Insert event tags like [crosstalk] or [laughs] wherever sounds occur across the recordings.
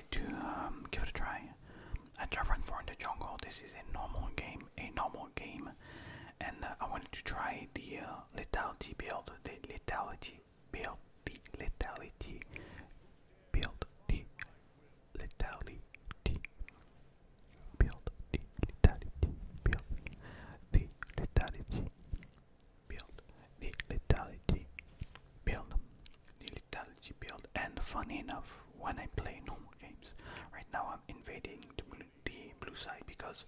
decided to um, give it a try. I tried Run 4 in the jungle. This is a normal game, a normal game, and uh, I wanted to try the uh, Letality build, the Letality build, the Letality build, the Letality build, the Letality build, the Letality build the lethality build the lethality build and funny enough when I play normal games right now I'm invading the blue, side because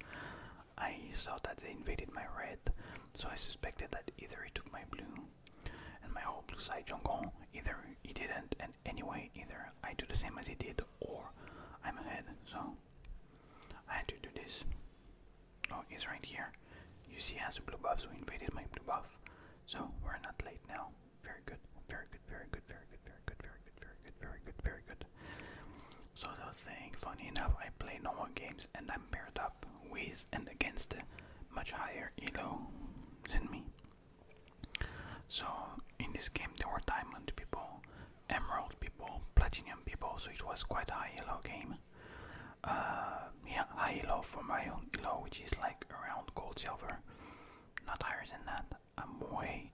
I saw that they invaded my red so I suspected that either he took my blue and my whole blue side jungle either he didn't and anyway either I do the same as he did or I'm ahead so I had to do this Oh, he's right here. You see, he has a blue buff, so he invaded my blue buff. So we're not late now. Very good, very good, very good, very good, very good, very good, very good, very good, very good. So as I was saying, funny enough, I play normal games and I'm paired up with and against much higher elo than me. So in this game there were diamond people, emerald people, platinum people, so it was quite a high elo game uh, yeah, high low for my own low, which is like around gold silver, not higher than that. I'm way,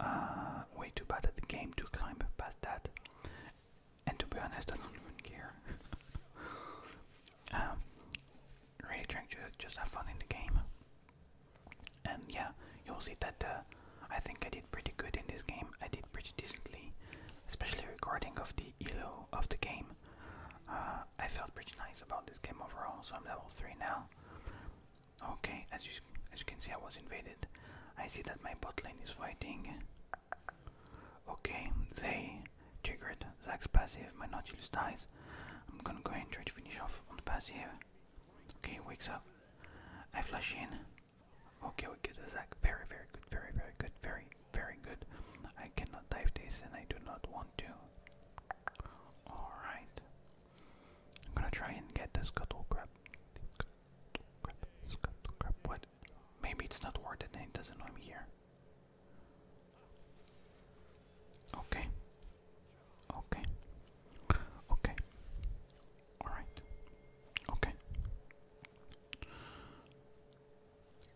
uh, way too bad at the game to climb past that. And to be honest, I don't even care. [laughs] Um, really trying to just have fun in the game. And yeah, you'll see that uh, I think I did pretty good in this game. I did pretty decently especially recording of the elo of the game. Uh, I felt pretty nice about this game overall, so I'm level three now. Okay, as you as you can see, I was invaded. I see that my bot lane is fighting. Okay, they triggered Zach's passive. My Nautilus dies. I'm gonna go and try to finish off on the passive. Okay, wakes up. I flash in. Okay, we get a Zack. Very, very good. Very, very good. Very very good. I cannot dive this and I do not want to. Alright. I'm gonna try and get this scuttle crab. Scuttle crab, scuttle crab. What? Maybe it's not worth it and it doesn't know I'm here. Okay. Okay. Okay. Alright. Okay.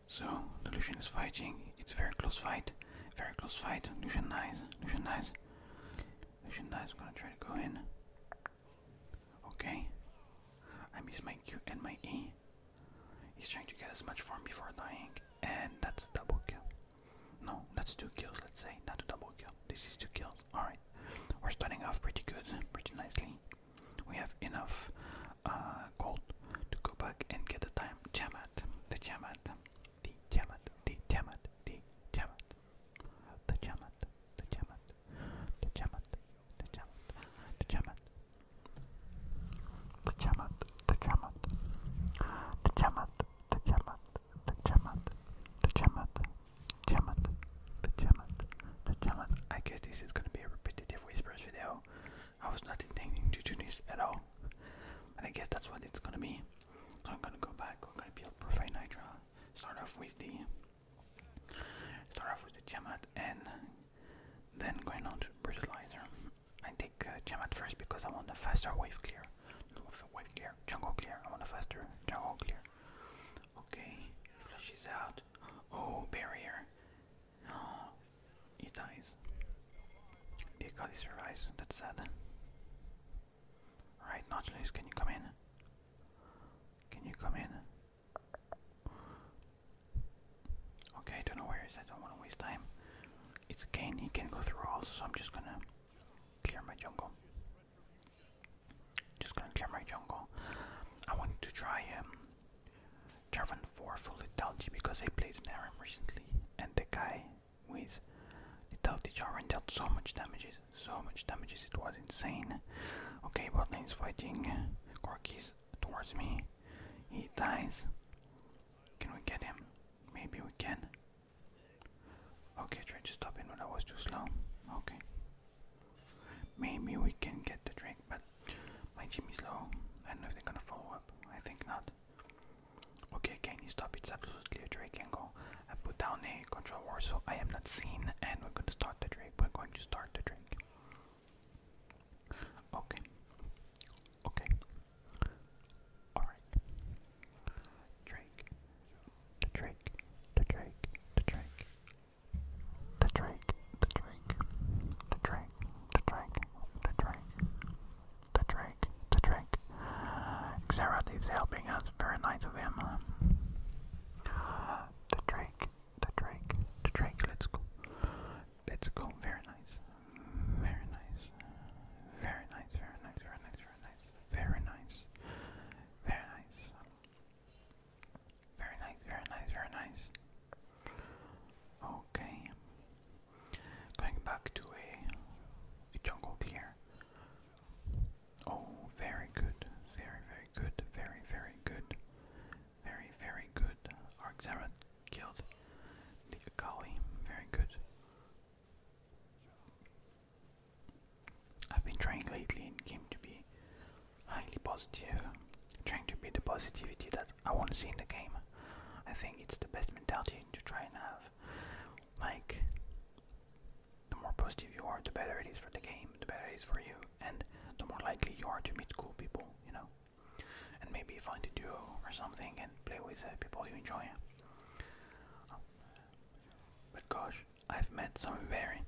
So the Lucian is fighting. It's a very close fight. Very close fight. Lucian dies. Lucian dies. Lucian dies. I'm gonna try to go in. Okay. I miss my Q and my E. He's trying to get as much form before dying. And that's a double kill. No, that's two kills, let's say. Not a double kill. This is two kills. Alright. We're starting off pretty good, pretty nicely. We have enough uh, gold to go back and get the time Tiamat, the Tiamat, the Tiamat, the Tiamat, the Tiamat, the Tiamat, the Tiamat, the Tiamat, the Tiamat, the Tiamat, the Tiamat, the Tiamat, the Tiamat, the Tiamat, the Tiamat, the Tiamat, Tiamat, Pajamas, pajamas. I guess this is gonna be a repetitive whispers video. I was not intending to do this at all, and I guess that's what it's gonna be. So I'm gonna go back. I'm gonna build Profile Nitro. Start off with the start off with the Jamat and then going on to brutalizer. I take uh, first because I want the faster wave clear. Wave clear, jungle clear. I want the faster jungle clear. Okay, flashes out. Oh, barrier. Oh, he dies. The Akali survives. That's sad. Right, Nautilus, can you come in? Can you come in? Okay, I don't know where he is. I don't want to waste time. It's Kane. He can go through all, so I'm just gonna clear my jungle. Just gonna clear my jungle. I want to try him. Um, Jarvan 4 full lethality because I played an Aram recently and the guy with lethality Jarvan dealt so much damages, so much damages, it was insane. Okay, bot lane's fighting, Corky's towards me, he dies. Can we get him? Maybe we can. Okay, try to stop him, but I was too slow. Okay. Maybe we can get the trick, but my team is low. I don't know if they're gonna follow up. I think not. Okay, can you stop? It's absolutely a Drake angle. I put down a control war so I am not seen, and we're gonna start the Drake. We're going to start the Drake. Okay. Okay. Alright. Drake. Drake. The Drake. The Drake. The drink, the drink, the drink, the drink, the drink, the drink, the drink. Xerath is helping us, very nice of him. The drink, the drink, the drink, let's go. Let's go, very nice. Very nice. Very nice, very nice, very nice, very nice. Very nice. Very nice. Very nice, very nice, very nice. Okay. Going back to a, a jungle clear. Oh, very good, very, very good, very, very good, very, very good. Arxarat killed the Akali, very good. I've been trying lately in game to be highly positive, trying to be the positivity that I want to see in the game. I think it's the best mentality to try and have. Like, the more positive you are, the better it is for the game, the better it is for you, and the more likely you are to meet cool people, you know? And maybe find a duo or something and play with uh, people you enjoy. But gosh, I've met some very,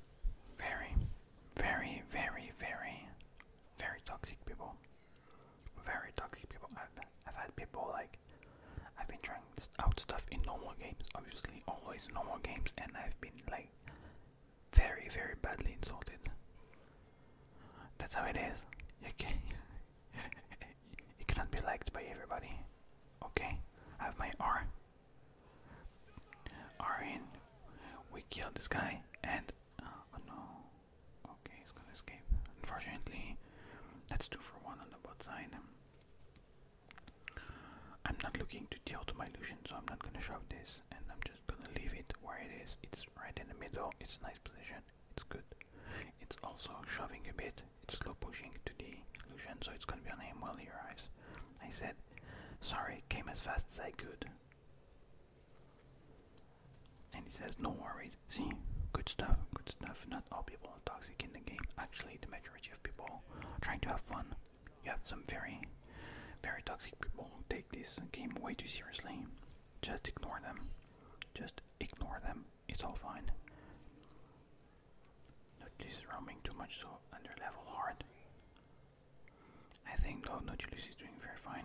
very very, very, very, very toxic people. Very toxic people. I've, I've had people like, I've been trying out stuff in normal games, obviously, always normal games, and I've been like very, very badly insulted. That's how it is. Okay, [laughs] it cannot be liked by everybody. Okay? I have my R Alright, we killed this guy and. Uh, oh no. Okay, he's gonna escape. Unfortunately, that's two for one on the bot side. I'm not looking to deal to my illusion, so I'm not gonna shove this and I'm just gonna leave it where it is. It's right in the middle, it's a nice position, it's good. It's also shoving a bit, it's slow pushing to the illusion, so it's gonna be on him while he arrives. I said, sorry, came as fast as I could. And he says, no worries. See, good stuff, good stuff. Not all people are toxic in the game. Actually, the majority of people trying to have fun. You have some very, very toxic people who take this game way too seriously. Just ignore them. Just ignore them. It's all fine. Not this roaming too much so under level hard. I think Lord Nodulus is doing very fine.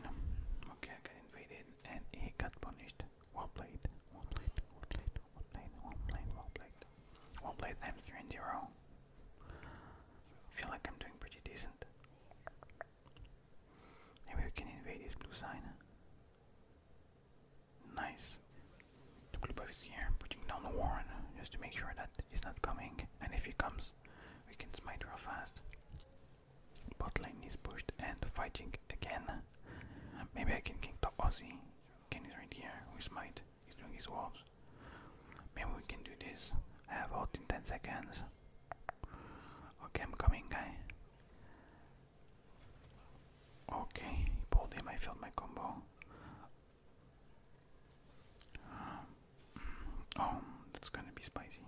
Okay, I got invaded and he got punished. Well played, well played, well played, well played, well played, well played. Well played, I'm 3 and 0. Feel like I'm doing pretty decent. Maybe we can invade his blue sign. Nice. The Klubov is here, putting down the Warren, just to make sure that he's not coming. And if he comes, we can smite real fast. Bot lane is pushed and fighting again. Maybe I can king the Aussie. Ken right here. We smite. He's doing his wolves. Maybe we can do this. I have ult in 10 seconds. Okay, I'm coming, guy. Okay, pulled him. I filled my combo. Um, oh, that's gonna be spicy.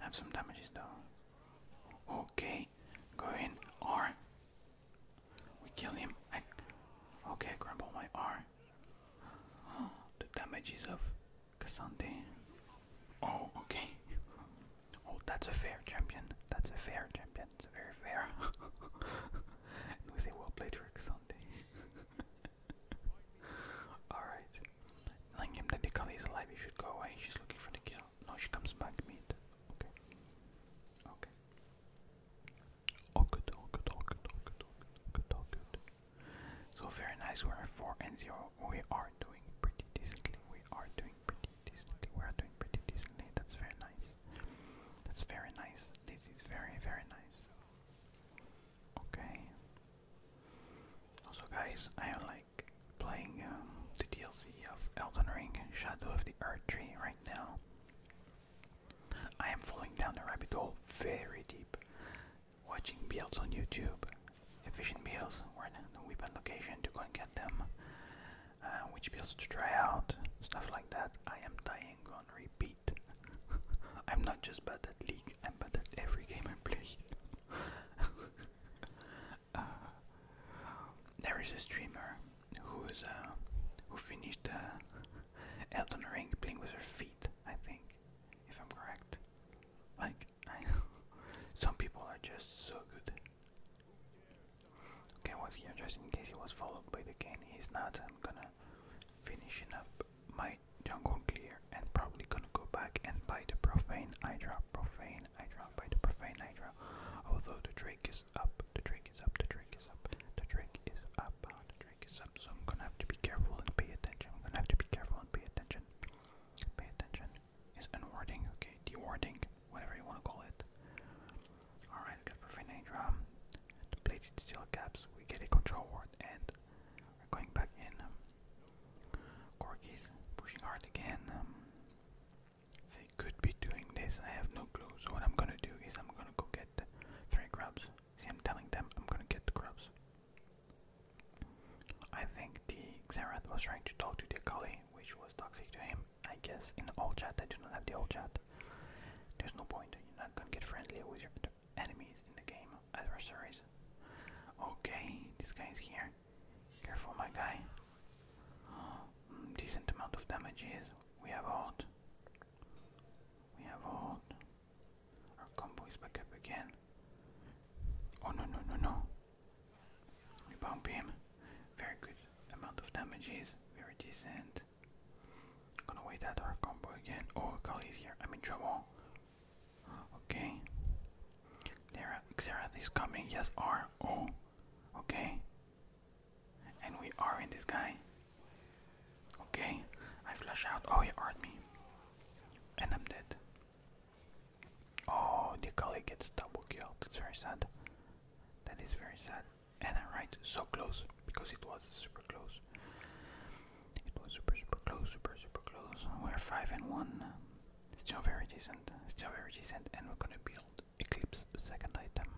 Have some damages though. Okay, go in. R. We kill him. okay, crumble my R. [gasps] the damages of Cassante. Oh, okay. Oh, that's a fair champion. That's a fair champion very fair. we say we'll play Trick Sunday. [laughs] Alright. Langham that the Kali alive, you should go away. She's looking for the kill. No, she comes back mid. Okay. Okay. Oh So very nice, we're 4 and 0. We are doing pretty decently. We are doing pretty decently. We are doing pretty decently. That's very nice. That's very nice. This is very, very nice. Okay. Also, guys, I like playing um, the DLC of Elden Ring Shadow of the Earth Tree right now. I am falling down the rabbit hole very deep, watching builds on YouTube, efficient builds, in the weapon location to go and get them, uh, which builds to try out, stuff like that. I am dying on repeat. [laughs] I'm not just bad at League, I'm bad at every game I play. [laughs] Uh, there is a streamer who is uh, who finished uh, Elden Ring playing with her feet, I think, if I'm correct. Like, [laughs] some people are just so good. Okay, I was here just in case he was followed by the game? He's not. I'm gonna finishing up my jungle clear and probably gonna go back and buy the profane I drop, profane I drop, buy the profane I drop. Although the Drake is up, the Drake is up, the Drake is up, the Drake is up, the Drake is up. So I'm gonna have to be careful and pay attention. I'm gonna have to be careful and pay attention. Pay attention. It's unwarding, okay? Dewarding, whatever you wanna call it. Alright, good for Finite Drum. Depleted steel caps, we get a control ward and we're going back in. Um, Corky's pushing hard again. they um, could be doing this, I have no clue. So what I'm gonna do is I'm gonna go get three grubs. See, I'm telling them I'm gonna get the grubs. I think the Xerath was trying to talk to the Akali, which was toxic to him. I guess in the old chat, I do not have the old chat. There's no point. You're not gonna get friendly with your enemies in the game, adversaries. Okay, this guy is here. Careful, my guy. Oh, decent amount of damages. We have ult. We have ult. Our combo is back up again. Oh no no no no. We bump him. Very good amount of damages. Very decent. Gonna wait at our combo again. Oh, Kali's here. I'm in trouble. Okay. There, Xerath is coming. Yes, R. Oh. Okay. And we are in this guy. Okay. I flash out. Oh, he art me. And I'm dead. Oh, the colleague gets double killed. That's very sad. That is very sad and I write so close because it was super close. It was super super close, super super close. We're five and one. Still very decent. Still very decent and we're gonna build Eclipse second item.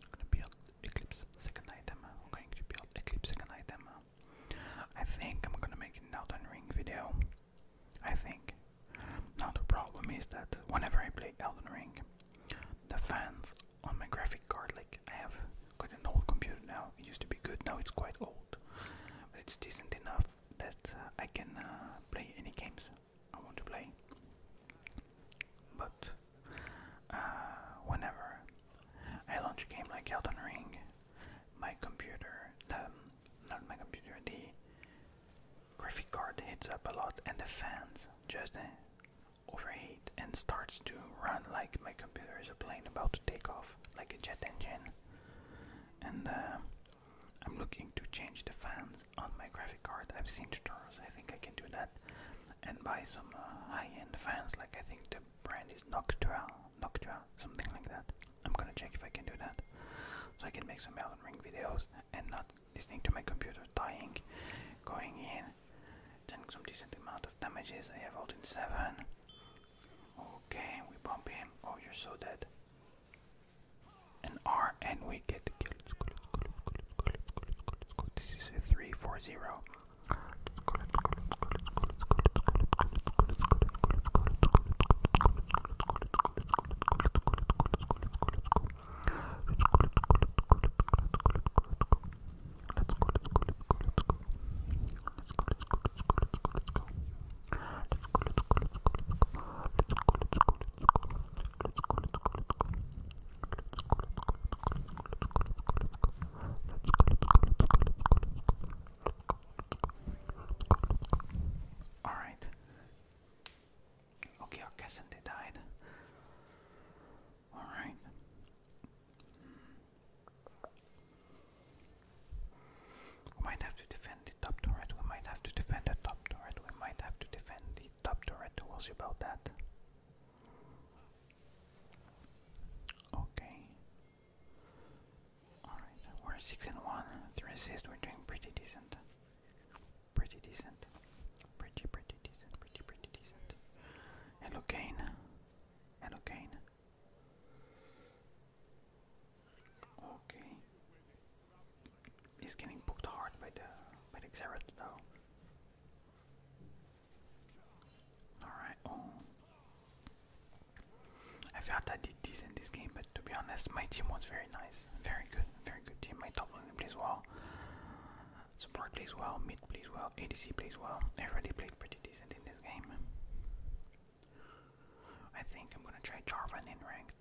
We're gonna build Eclipse second item. I'm going to build Eclipse second item. I think I'm gonna make an Elden Ring video. I think. Now the problem is that whenever I play Elden Ring, the fans on my graphic card. Like I have got an old computer now. It used to be good. Now it's quite old, but it's decent enough that uh, I can uh, play any games I want to play. But uh, whenever I launch a game like Elden Ring, my computer, um, not my computer, the graphic card heats up a lot, and the fans just overheat and starts to run like my computer is a plane about to take off, like a jet engine. And uh, I'm looking to change the fans on my graphic card. I've seen tutorials, I think I can do that. And buy some uh, high end fans, like I think the brand is Noctua, Noctua, something like that. I'm gonna check if I can do that. So I can make some Elden Ring videos and not listening to my computer dying, going in Taking some decent amount of damages. I have rolled in 7. Okay, we bump him. Oh, you're so dead. An R and we get the kill. This is a 3 let Okay, go, let's go, Okay, our Cassandra died. All right. We might have to defend the top turret. We might have to defend the top turret. We might have to defend the top turret. We'll about that. Okay. Alright, we're 6 and 1. 3 assists, we're doing pretty decent pretty decent. Pretty, pretty decent, pretty, pretty decent. Hello, Kane. Hello, Kane. Okay. He's getting booked hard by the by the Xerath though. Alright, oh I felt I did this in this game, but to be honest my team was very nice. Very good, very good team. My top lane plays well. Support plays well, mid plays well, ADC plays well. Everybody played pretty decent in this game. I think I'm gonna try Jarvan in ranked.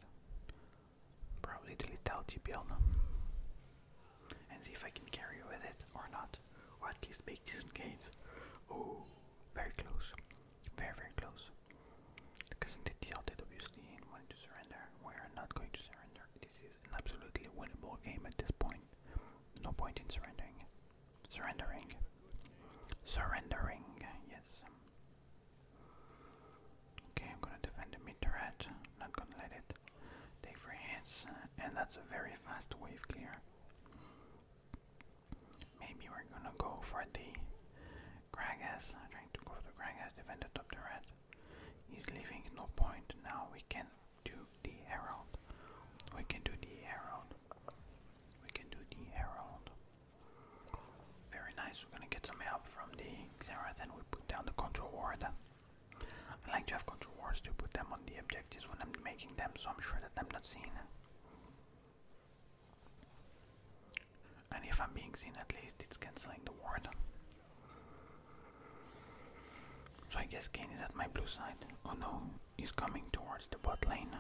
Probably the out TPL and see if I can carry with it or not, or at least make decent games. Oh, very close, very very close. Because the tilted obviously and wanted to surrender. We are not going to surrender. This is an absolutely winnable game at this point. No point in surrendering. Surrendering. Surrendering, yes. Okay, I'm gonna defend the mid turret. Not gonna let it take for hits, and that's a very fast wave clear. Maybe we're gonna go for the Gragas. I'm trying to go for the Gragas, defend the top turret. He's leaving, no point. Now we can do the herald. We can do the herald. We can do the herald. Very nice. We're gonna get some help from the Xerath and we put down the control ward. I like to have control wards to put them on the objectives when I'm making them, so I'm sure that I'm not seen. And if I'm being seen, at least it's cancelling the ward. So I guess Kane is at my blue side. Oh no, he's coming towards the bot lane.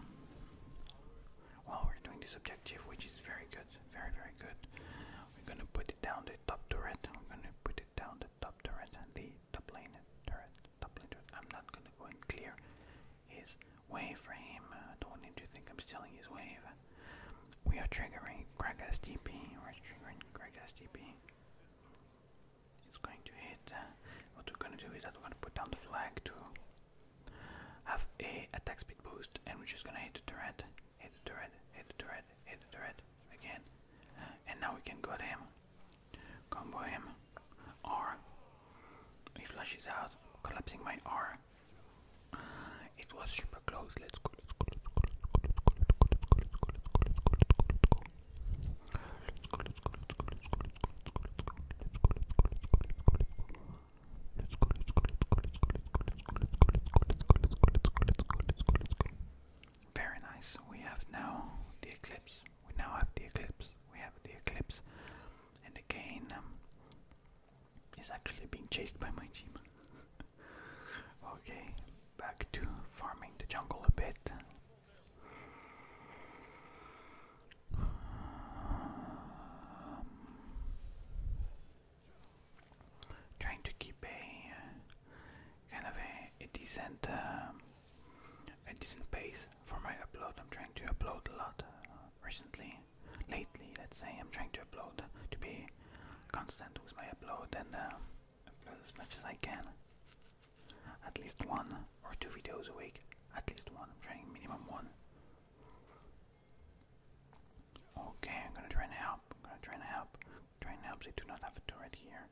Well, we're doing this objective, which is very good, very, very good. We're gonna put it down the top turret. We're gonna put it down the top turret and the top lane turret. Top lane turret. I'm not gonna go and clear his wave for him. I don't want him to think I'm stealing his wave. We are triggering Greg S T P. We're triggering Greg S T P. It's going to hit. Uh, what we're gonna do is that we're gonna put down the flag to have a attack speed boost, and we're just gonna hit the turret, hit the turret, hit the turret, hit the turret again, and now we can go to him, combo him, R. He flashes out, collapsing my R, it was super close. Let's go. Let's go. Let's go. Let's go. Let's go. Let's go. Let's go. Let's go. Let's go. Let's go. Let's go. Let's go. Let's go. Let's go, let's go, let's go, let's go, let's go, let's go, let's go, let's go, let's go, let's go, let's go, let's go, let's go. Very nice. We have now the eclipse. We now have the eclipse. We have the eclipse. And again um is actually being chased by my Gmail. [laughs] okay, back to farming the jungle a bit. Um, trying to keep a uh, kind of a, decent uh, a decent pace for my upload. I'm trying to upload a lot uh, recently, lately. Let's say I'm trying to upload to be constant with my upload and. I plan as much as I can. At least one or two videos a week. At least one. I'm trying minimum one. Okay, I'm gonna try and help. I'm gonna try and help. Try and help. They do not have a turret here.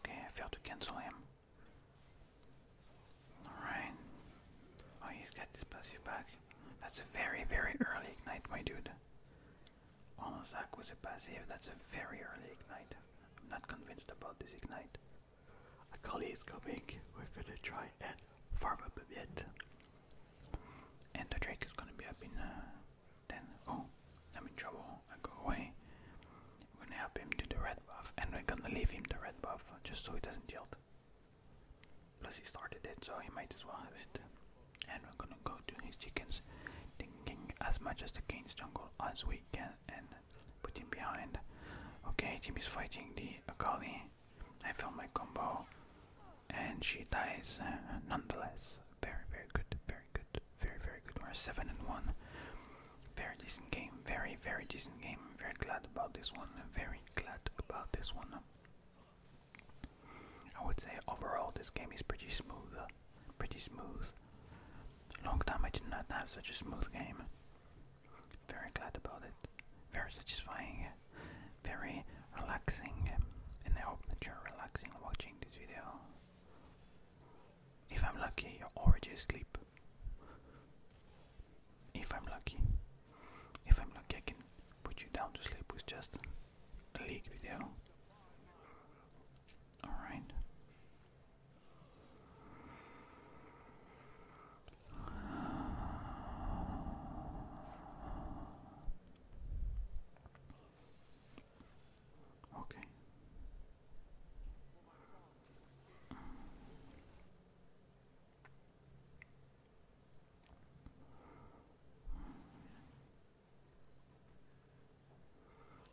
Okay, I failed to cancel him. Alright. Oh, he's got this passive back. That's a very, very early ignite, my dude. On oh, sack with a passive, that's a very early ignite. I'm not convinced about this ignite. A colleague is coming, we're gonna try and farm up a bit. And the Drake is gonna be up in uh, 10. Oh, I'm in trouble, I go away. We're gonna help him to the red buff, and we're gonna leave him the red buff just so he doesn't yield. Plus he started it, so he might as well have it. And we're gonna go to his chickens, thinking as much as the king's jungle as we can and put him behind. Okay, Jim is fighting the Akali. I found my combo and she dies uh, nonetheless. Very, very good, very good, very, very good. We're 7 and 1. Very decent game, very, very decent game. Very glad about this one, very glad about this one. I would say overall this game is pretty smooth, uh, pretty smooth. Long time I did not have such a smooth game. Very glad about it. Very satisfying, very relaxing, and I hope that you're relaxing watching this video. If I'm lucky, you're already asleep. If I'm lucky, if I'm lucky, I can put you down to sleep with just leak video. Alright. Okay.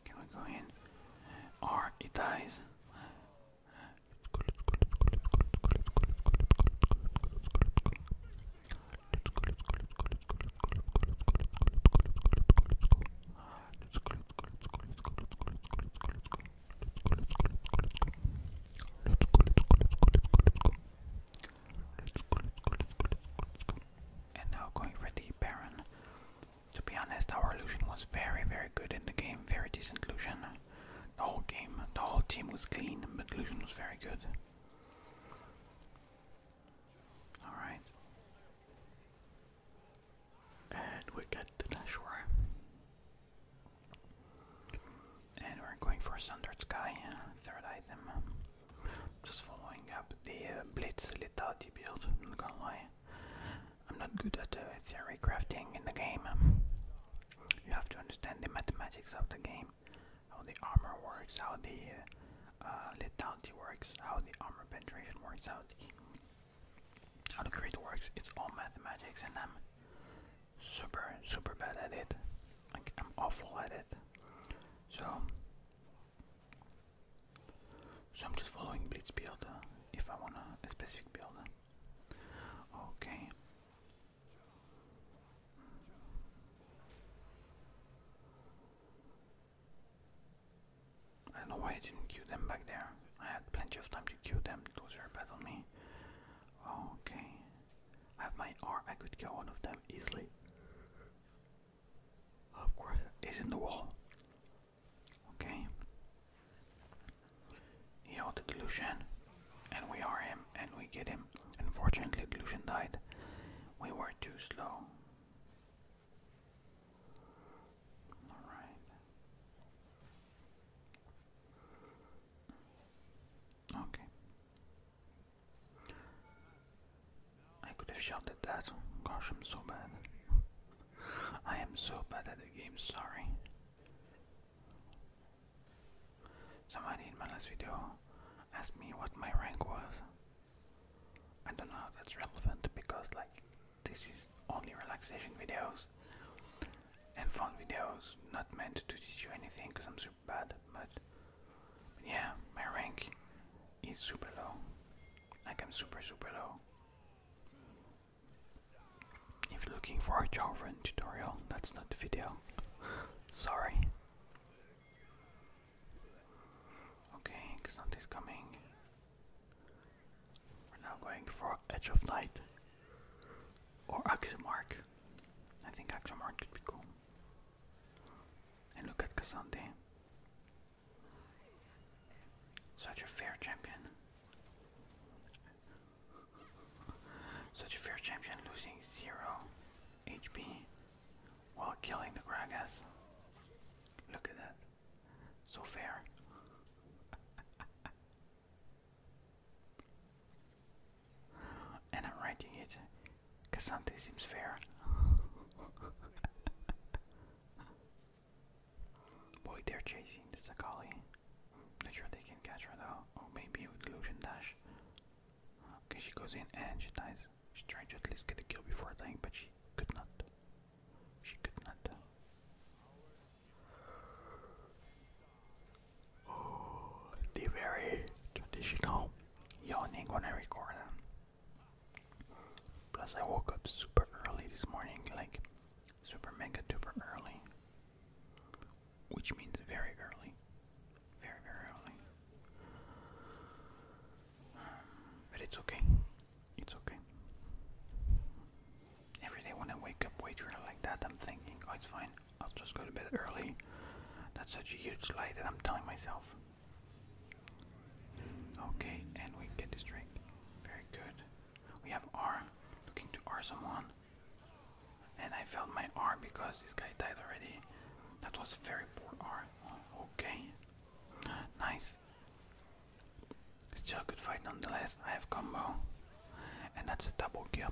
Can we go in? Or it dies. And now going for the Baron. To be honest, our illusion was very, very good in the game. Very decent illusion. The whole game, the whole team was clean, but illusion was very good. Alright. And we get the Nashor. And we're going for standard Sky, uh, third item. Just following up the uh, Blitz Lethality build, I'm not gonna lie. I'm not good at uh, theory crafting in the game. You have to understand the mathematics of the game, how the armor works, how the uh, lethality works, how the armor penetration works, how the, how the crit works. It's all mathematics, in them. Um, super, super bad at it. Like, I'm awful at it. So, so I'm just following Blitz build if I want a, specific build. Okay. I know why I didn't queue them back there. I had plenty of time to queue them, those are bad on me. Okay. I have my R, I could kill one of them easily. Of course, he's in the wall. Okay. Heal the Delusion, and we are him, and we get him. Unfortunately, Delusion died. We were too slow. Alright. Okay. I could have shot that. Gosh, I'm so bad. I am so bad at the game, sorry. Somebody in my last video asked me what my rank was. I don't know if that's relevant because like this is only relaxation videos and fun videos not meant to teach you anything bad, but, yeah, my rank is super low. Like I'm super super low. If you're looking for a Jowren tutorial, that's not the video. [laughs] Sorry. Okay, something's coming. We're now going for Edge of Night or Axiomark. I think Axiomark could be cool. And look at Cassante. Such a fair champion. Such a fair champion losing zero HP while killing the Gragas. Look at that. So fair. [laughs] and I'm writing it because something seems fair. [laughs] Boy, they're chasing the Sakali. Not sure they can catch her though, or oh, maybe with illusion dash. Okay, she goes in and she dies. She tried to at least get a kill before dying, but she could not. She could not the very traditional yawning when I record them. Um, plus, I woke up super early this morning, like super mega super early, which means very early, very very early. Um, but it's okay, it's okay. Every day when I wake up way too early like that, I'm thinking, oh, it's fine. I'll just go to bed early. That's such a huge slide that I'm telling myself. Okay, and we get this drink. Very good. We have R. Looking to R someone. And I felt my R because this guy died already. That was a very poor R. okay. Nice. Still a good fight nonetheless. I have combo. And that's a double kill.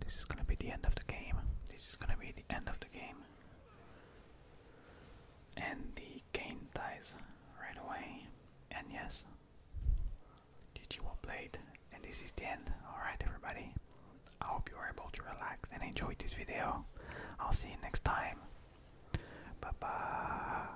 This is gonna be the end of the game. This is gonna be the end of the game. And the game dies right away. And yes, did you all play it? And this is the end. Alright everybody. I hope you were able to relax and enjoy this video. I'll see you next time. Bye bye.